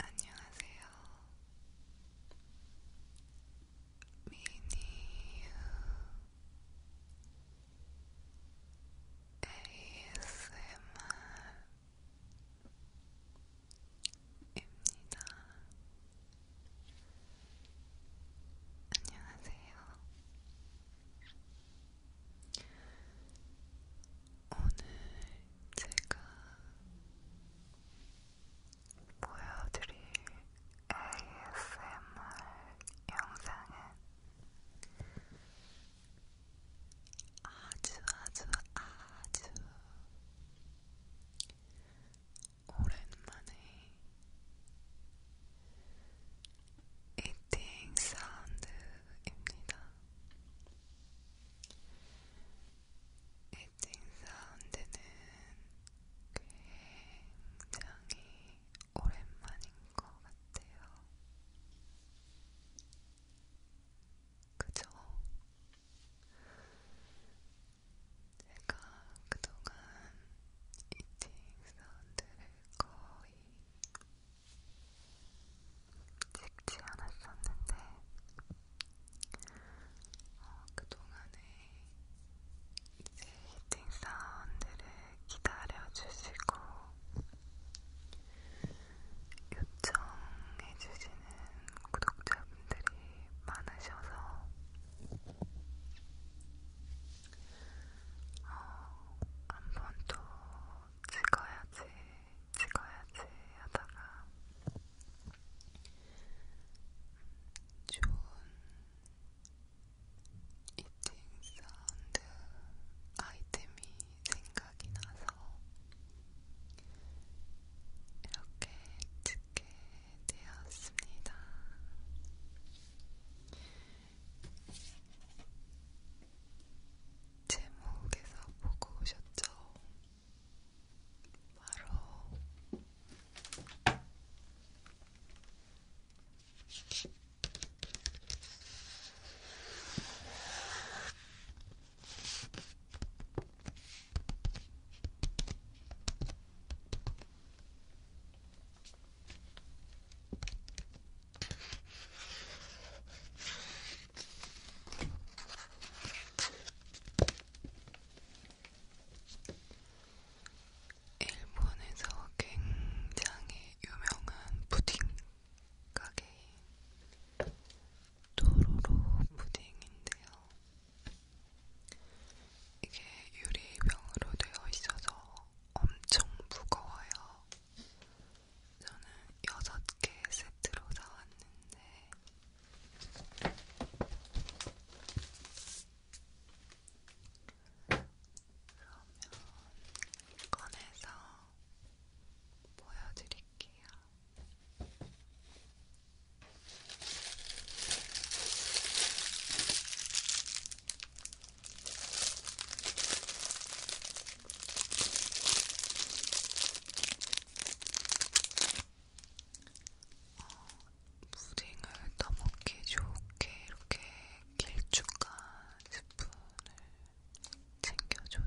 안녕하세요. 미니유 ASMR입니다. 안녕하세요. 오늘 제가 보여드릴 ASMR 영상은 아주 아주 아주 오랜만에 이팅 사운드 사운드입니다. 에칭 사운드는 굉장히 오랜만인 것 같아요. 그죠? 제가 그동안 이팅 사운드를 거의 찍지 않았었는데 어, 그동안에 이제 히팅 사운드를 기다려주시고 요청해주시는 구독자분들이 많으셔서 어, 한번또 찍어야지 찍어야지 하다가 좋은 이팅 사운드 아이템이 생각이 나서 이렇게 찍게 되었습니다. 제목에서 보고 오셨죠? 바로 일본에서 굉장히 유명한 푸딩 가게인 도로로 푸딩인데요. 이게 유리병으로 되어 있어서 엄청 무거워요. 저는 여섯 개 세트로 사왔는데 그러면 꺼내서 보여드릴게요. 무딩을 떠먹기 좋게 이렇게 길쭉한 스푼을 챙겨줘요.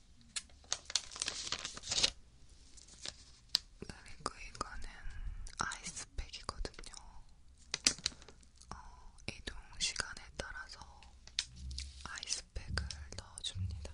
그리고 이거는 아이스팩이거든요. 어, 이동 시간에 따라서 아이스팩을 넣어줍니다.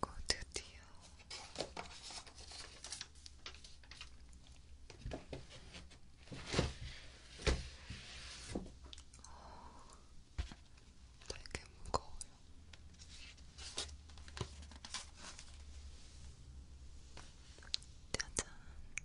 그리고 드디어 어, 되게 무거워요. 짜잔.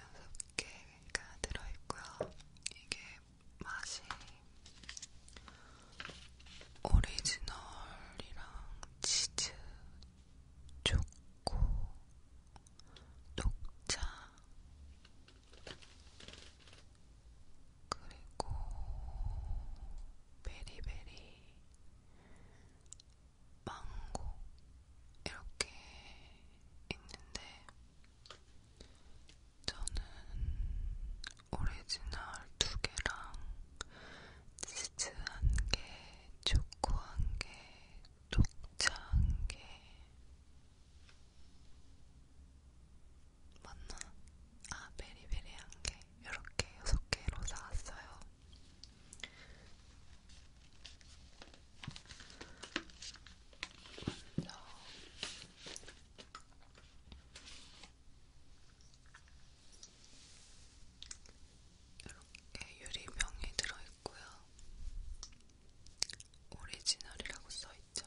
여섯 개가 들어있고요. 이게 맛이 오리지널이랑 치즈, 초코, 녹차, 그리고 베리베리, 망고 이렇게 있는데 저는 오리지널 두 개랑 치즈 한 개, 초코 한 개, 녹차 한 개. 맞나? 아, 베리베리한 게 이렇게 6개로 사왔어요. 먼저 이렇게 유리병이 들어있고요. 오리지널이라고 써있죠.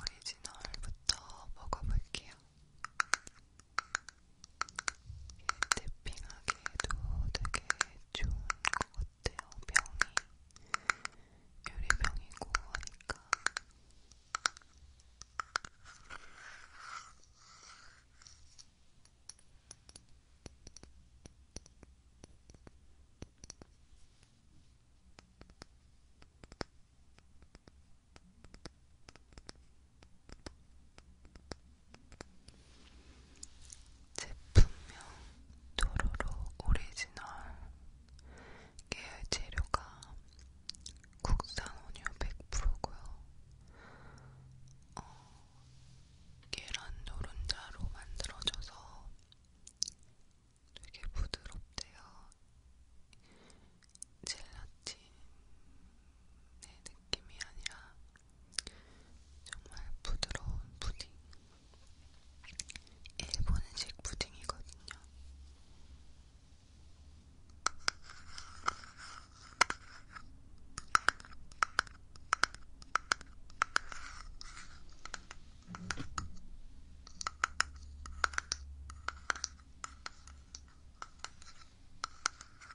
오리지널부터 먹어볼게요. 탭핑하기에도 되게 좋은 것 같아요. 병이 유리병이고 하니까. 음, 제품명 도로로 오리지널 계열 재료가 국산 원유 100%고요. 어, 계란 노른자로 만들어져서 되게 부드럽대요. 젤라틴 내 느낌이 아니라 정말 부드러운 푸딩. 일본식 푸딩이거든요.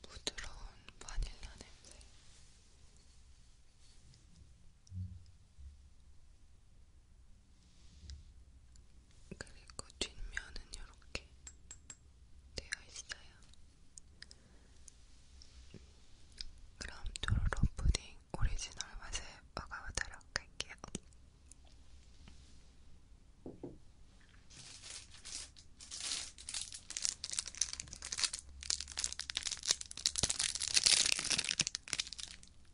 부드러운 바닐라 냄새. 그리고 뒷면은 이렇게 되어 있어요. 그럼 도로로 푸딩 오리지널 맛을 먹어보도록 할게요.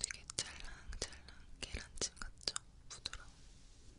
되게 찰랑찰랑 계란찜 같죠? 부드러워. 음.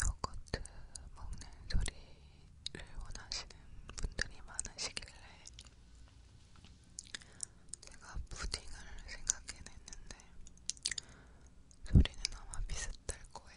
요거트 먹는 소리 원하시는 분들이 많으시길래 제가 푸딩을 생각해냈는데 소리는 아마 비슷할 거예요.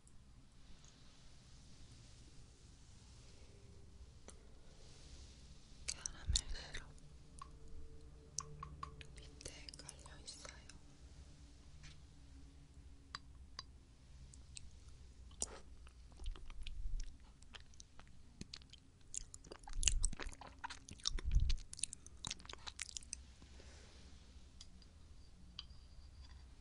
캐러멜 시럽 밑에 깔려 있어요.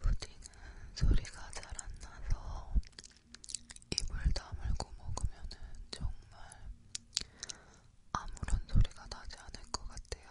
푸딩은 소리가 잘 안 나서 입을 다물고 먹으면은 정말 아무런 소리가 나지 않을 것 같아요.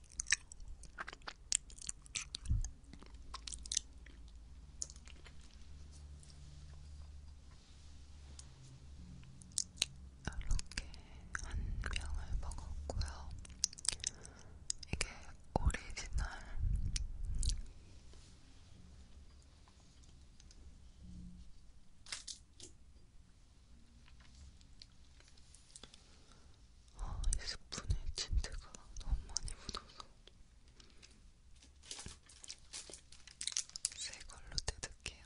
이렇게 한 병을 먹었고요. 이게 오리지널 아, 이 스푼에 진트가 너무 많이 묻어서 새 걸로 뜯을게요.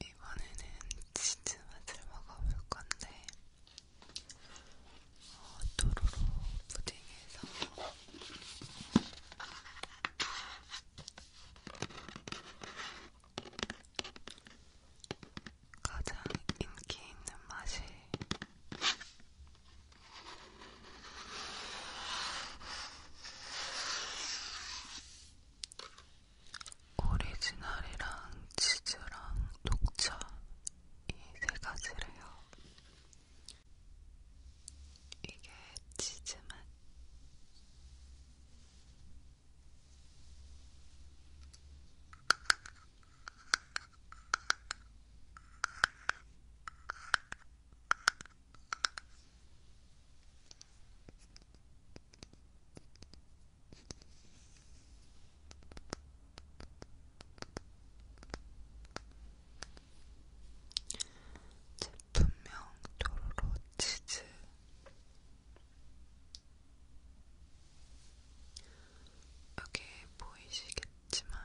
이번에는 치즈 맛을 먹어볼 건데 어, 도로로 부딩해서 가장 인기 있는 맛이 오리지널이랑 치즈랑 녹차 이 세 가지래요. 이게 치즈맛. 제품명 도로로 치즈 여기 보이시겠지만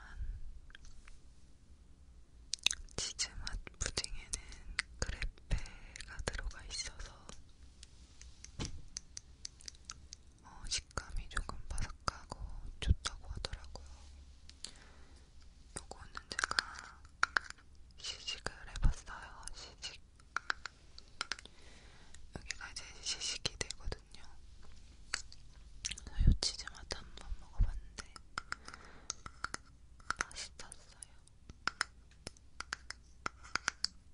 치즈맛 푸딩에는 그래페가 들어가 있어서 어, 식감이 조금 바삭하고 좋다고 하더라고요. 요거는 제가 시식을 해봤어요. 시식. 여기가 이제 시식이 되거든요. 요 치즈 맛 한 번 먹어봤는데 맛있었어요.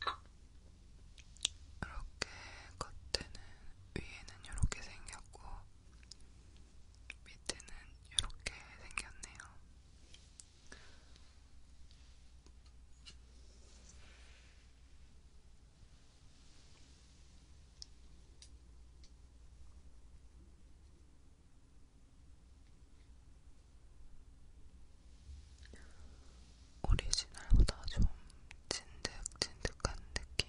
이렇게 겉에는 위에는 이렇게 생겼고 밑에는 이렇게 생겼네요. 오리지널보다 좀 진득진득한 느낌.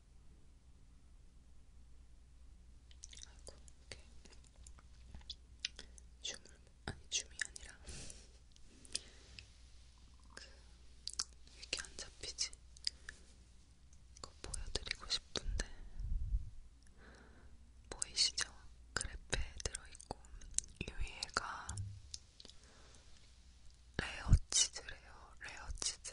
아이고, 이렇게 춤을 아니 춤이 아니라 그 이렇게 안 잡히지? 이거 보여드리고 싶은데 보이시죠? 그래프에 들어있고 이 위에가 레어 치즈래요. 레어 치즈.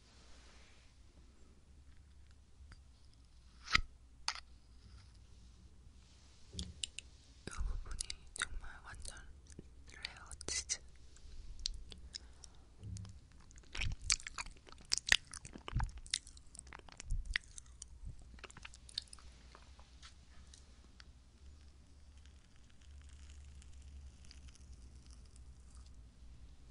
이 부분이 정말 완전 레어 치즈.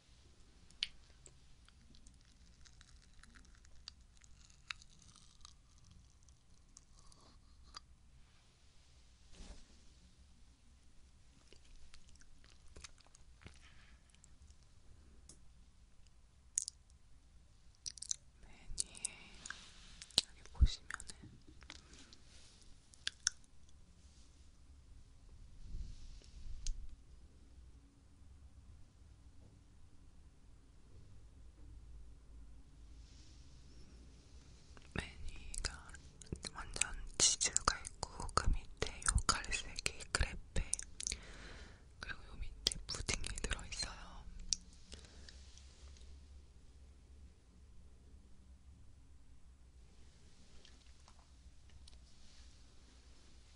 매니에 여기 보시면은 메뉴가 완전 치즈가 있고 그 밑에 요 갈색이 크레페 그리고 요 밑에 푸딩이 들어있어요.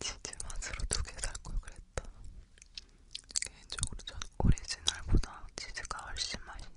치즈 맛으로 두개살걸 그랬다. 개인적으로 전 오리지널보다 치즈가 훨씬 맛있네요.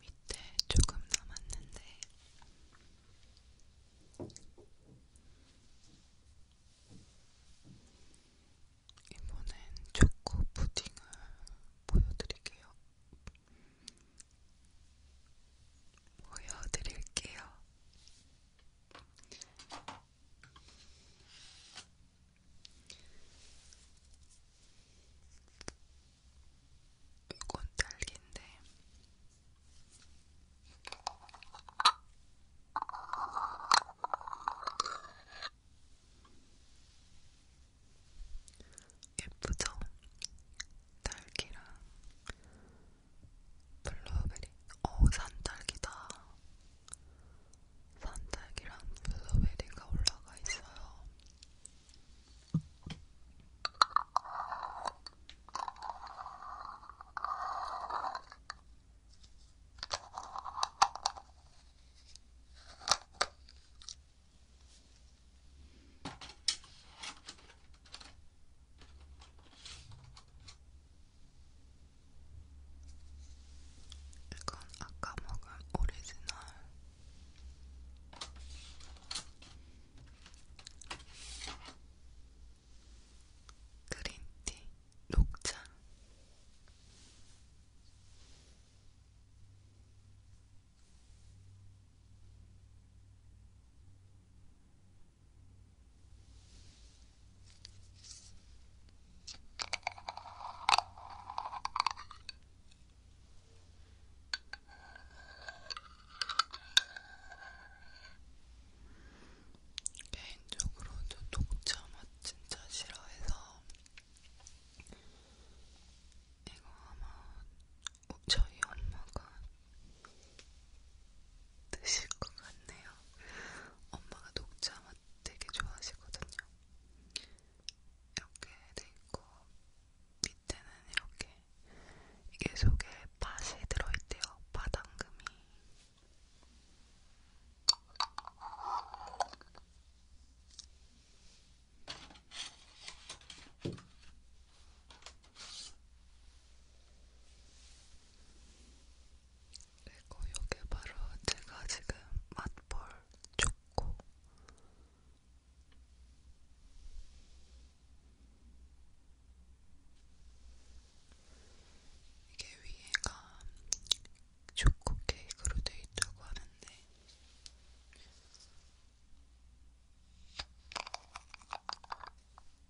밑에 조금 남았는데 이번엔 초코 푸딩을 보여드릴게요. 보여드릴게요. 이건 딸기인데 예쁘죠? 딸기랑 블루베리. 어, 산딸기다. 산딸기랑 블루베리가 올라가 있어요. 이건 아까 먹은 오리지널 그린티 녹차 개인적으로 저 녹차 맛 진짜 싫어해서 이거 아마 저희 엄마가 드실 것 같네요. 엄마가 녹차 맛 되게 좋아하시거든요. 이렇게 돼있고 밑에는 이렇게 이게 속에 팥이 들어있대요. 바당금이 그리고 이게 바로 제가 지금 맛볼 초코. 이게 위에가 초코 케이크로 되어 있다고 하는데.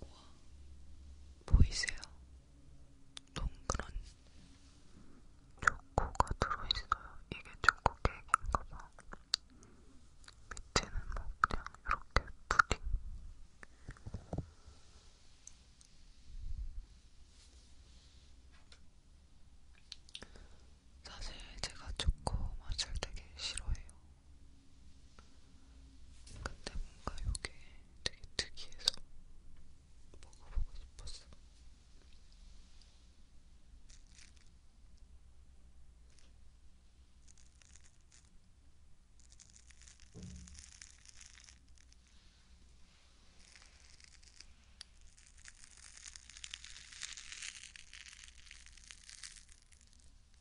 우와, 보이세요? 동그란 초코가 들어있어요. 이게 초코 케이크인가봐. 밑에는 뭐 그냥 이렇게 푸딩. 사실 제가 초코 맛을 되게 싫어해요. 근데 뭔가 요게 되게 특이해서 먹어보고 싶었어.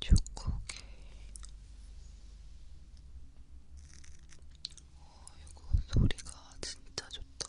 초코케 어이구, 소리가 진짜 좋다.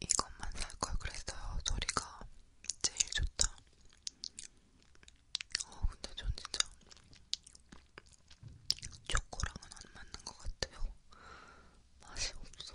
이것만 살 걸 그랬어요. 소리가 제일 좋다. 어, 근데 전 진짜 초코랑은 안 맞는 것 같아요. 맛이 없어.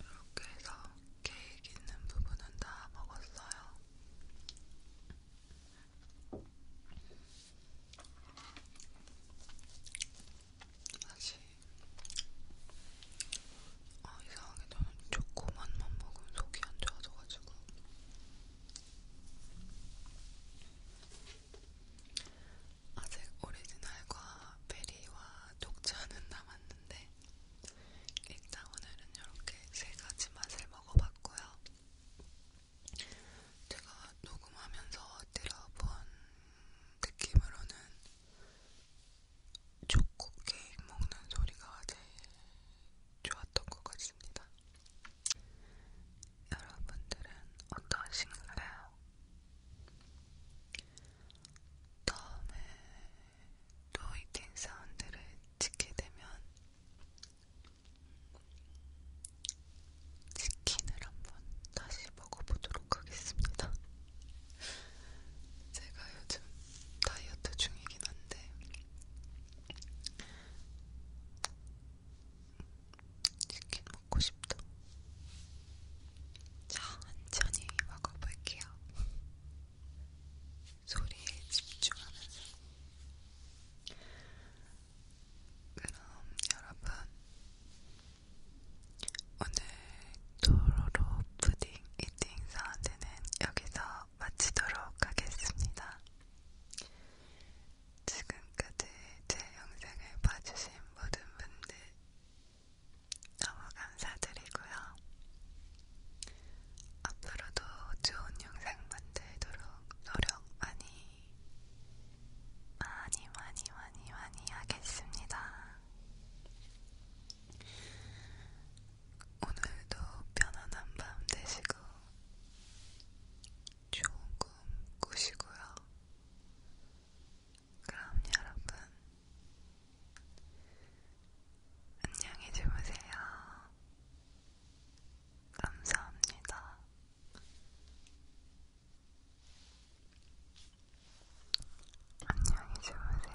이렇게 해서 케이크 있는 부분은 다 먹었어요. 다시 아 이상하게 저는 초코맛만 먹으면 속이 안 좋아져가지고 아직 오리지널과 베리와 녹차는 남았는데 일단 오늘은 이렇게 세 가지 맛을 먹어봤고요. 제가 녹음하면서 들어본 느낌으로는 초코 케이크 먹는 소리가 제일 좋았던 것 같습니다. 여러분들은 어떠신가요? 다음에 또 이틴 사운드를 찍게 되면 치킨을 한번 다시 먹어보도록 하겠습니다. 제가 요즘 다이어트 중이긴 한데 치킨 먹고 싶다. 천천히 먹어볼게요. 소리에 집중하면서. 그럼 여러분, 오늘 도로로 푸딩 이팅 사운드는 여기서 마치도록 하겠습니다. 지금까지 제 영상을 봐주신 모든 분들 너무 감사드리고요. 앞으로도 좋은 영상 만들도록 노력 많이, 많이, 많이, 많이, 많이 하겠습니다. 오늘도 편안한 밤 되시고 조금 꾸시고요. 그럼 여러분, 안녕히 주무세요. 감사합니다. 안녕히 주무세요.